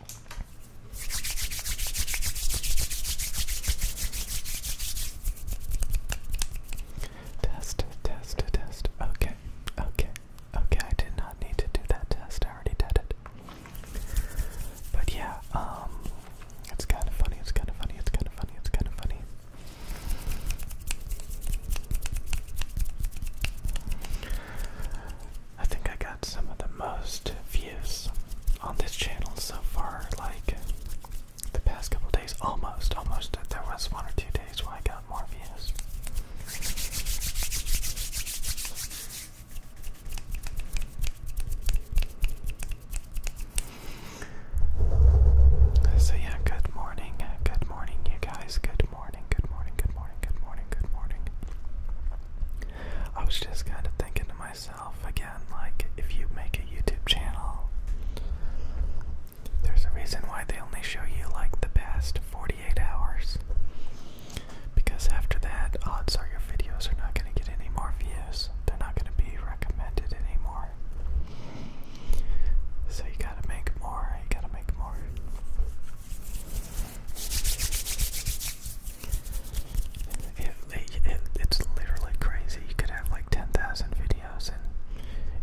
Test, test, test. Okay, okay, okay. I did not need to do that test. I already did it. But yeah, um, it's kind of funny. It's kind of funny. It's kind of funny. It's kind of funny. I think I got some of the most views on this channel so far, like the past couple days. Almost, almost. There was one or two days where I got more views. So, yeah, good morning, good morning, you guys. Good morning, good morning, good morning, good morning, good morning. I was just kind of thinking to myself again, like, if you make a YouTube channel, there's a reason why they only show you like the past 48 hours. Because after that, odds are your videos are not going to get any more views. They're not going to be recommended anymore. So you gotta make more, you gotta make more. It, it, it's literally crazy. You could have like 10,000 videos and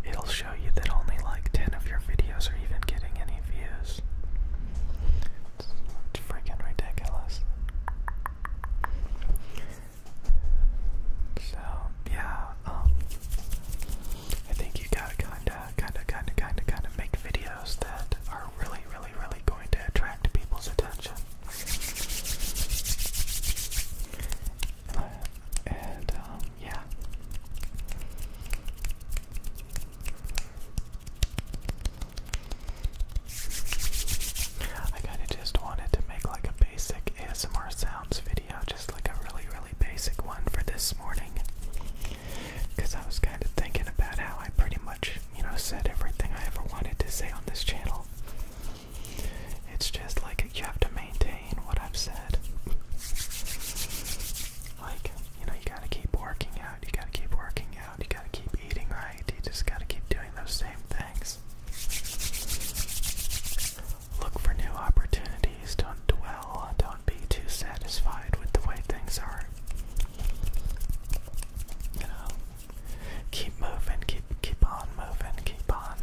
it'll show you that only like 10 of your videos are even getting any views. It's, freaking ridiculous. So, yeah, um, I think you gotta kinda, kinda, kinda, kinda, kinda make videos that are really, really, really going to attract people's attention. Uh, and um, yeah. I kind of just wanted to make like a basic ASMR sounds video, just like a really, really basic one for this morning. Because I was kind of thinking about how I pretty much, you know, said everything I ever wanted to say on this channel. It's just like you have to maintain what I've said. Like, you know, you gotta keep working out, you gotta keep working out, you gotta keep eating right, you just gotta keep doing those same things. Look for new opportunities. Please don't dwell, don't be too satisfied with the way things are. You know, keep moving, keep keep on moving, keep on.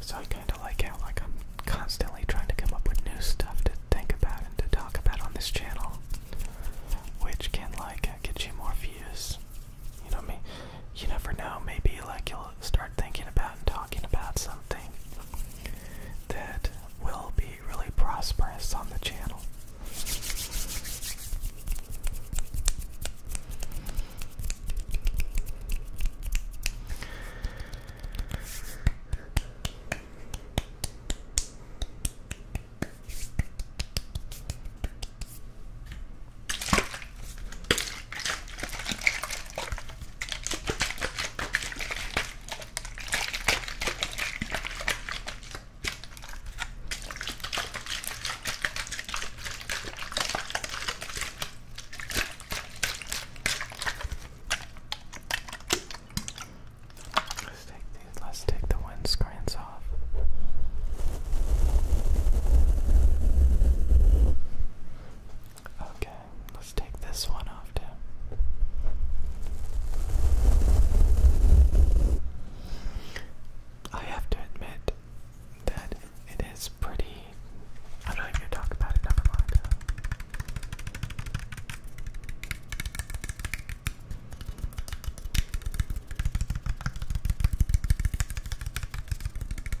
So I kind of like how like I'm constantly trying to come up with new stuff to think about and to talk about on this channel, which can like get you more views. You know me. You never know. Maybe like you'll start thinking about and talking about something that will be really prosperous on the channel. Let's take these, let's take the wind screens off. Okay, Let's take this one off too. I have to admit that it is pretty. I'm not even gonna talk about it, never mind.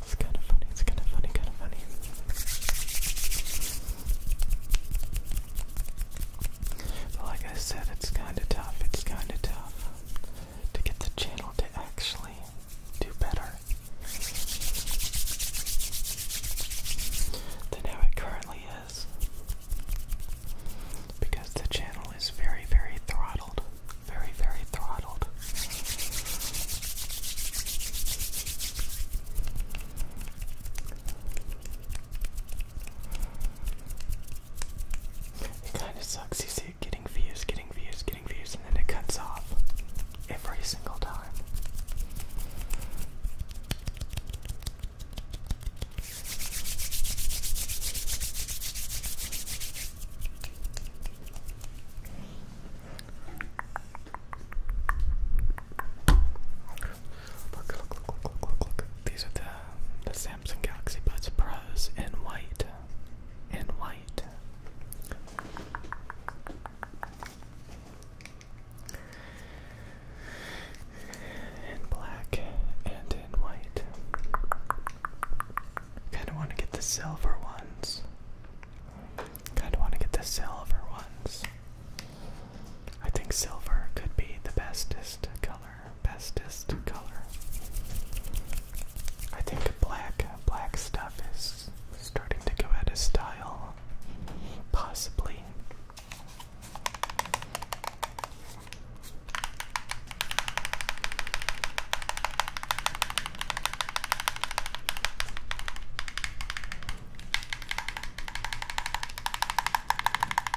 It's kind of funny, it's kind of funny, kind of funny. But like I said, it's kind of tough, it's kind of tough to get the channel to actually do better than how it currently is. Because the channel is very, very throttled. Very, very throttled. It kind of sucks. You see, getting views, getting views, getting views, and then it cuts off every single time. Look, look, look, look, look, look, These are the, the sounds Samsung Galaxy Buds Pros in white. In white. In black and in white. Kinda wanna get the silver ones. Kinda wanna get the silver ones. I think silver could be the bestest color bestest color. I think black, black stuff is starting to go out of style, possibly.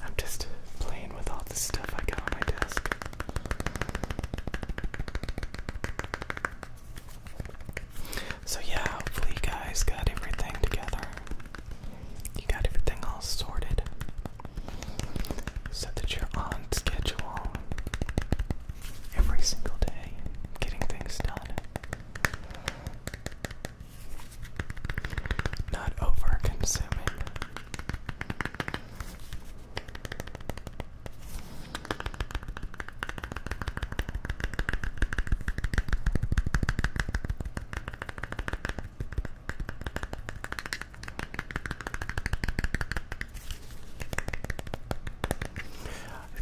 I'm just playing with all the stuff I got on my desk. So, yeah, hopefully, you guys got everything together. You got everything all sorted so that you're on schedule every single day, getting things done. Not over consuming. It's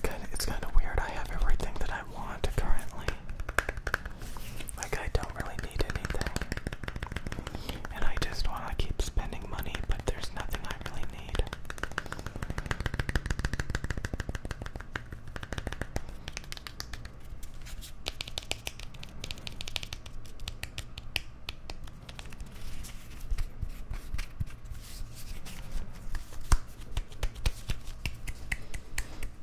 kind of it's kind of weird. I have everything that I want currently. Like, I don't really need anything. And I just want to keep spending money, but there's nothing I really need.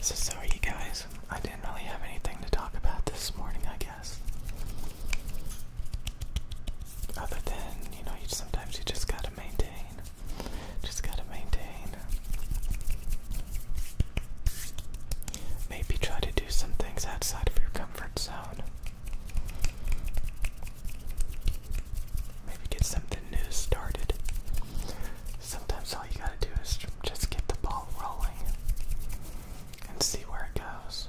So sorry guys I didn't really have anything to talk about this morning, I guess. Other than, you know, sometimes you just gotta maintain. Just gotta maintain. Maybe try to do some things outside of your comfort zone. Maybe get something new started. Sometimes all you gotta do is just get the ball rolling and see where it goes.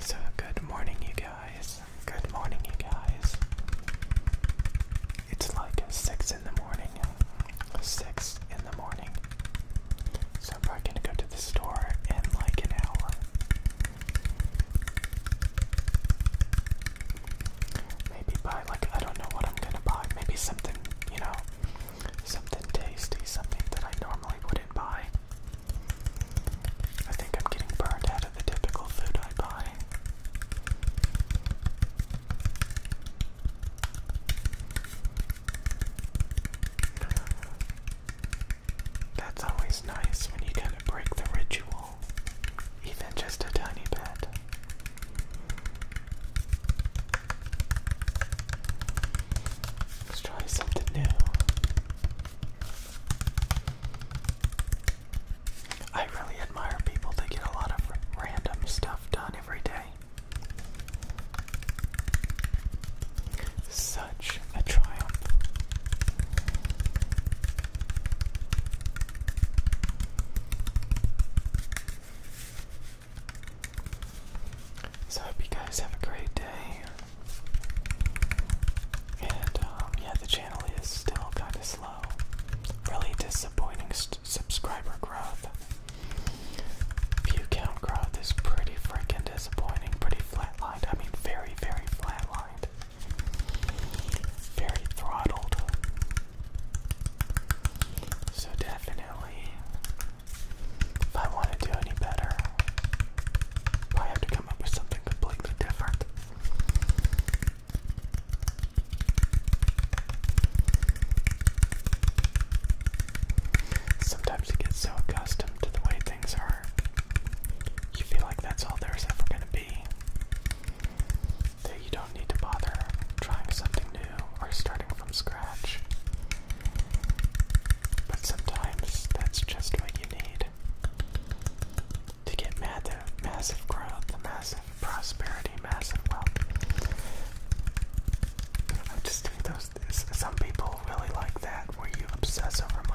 So, good morning, you guys. Good morning, you guys. It's like 6 in the morning. 6 in the morning. So, I'm probably gonna go to the store in like an hour. Maybe buy, like, I don't know what I'm gonna buy. Maybe something, you know, Something tasty, something that I normally wouldn't buy. I think I'm getting burnt out of the typical food I buy. That's always nice when you kind of break the ritual, even just a tiny bit. Let's try something new. I really admire people that get a lot of random stuff done every day. Such a triumph. So I hope you guys have a great day. And um, yeah, the channel is still kind of slow. Really disappointing subscriber growth. View count growth is pretty freaking disappointing, pretty flatlined. I mean, very, very flatlined. Very throttled. So, definitely if I want to do any better, I have to come up with something completely different. Sometimes you get so accustomed to the way things are, you feel like that's all there's ever going to be, that you don't need to bother trying something new or starting from scratch. But sometimes that's just what you need to get mad massive growth, massive prosperity, massive wealth. I just think those some people really like that where you obsess over money.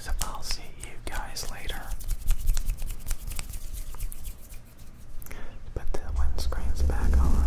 So I'll see you guys later. Put the windscreens back on.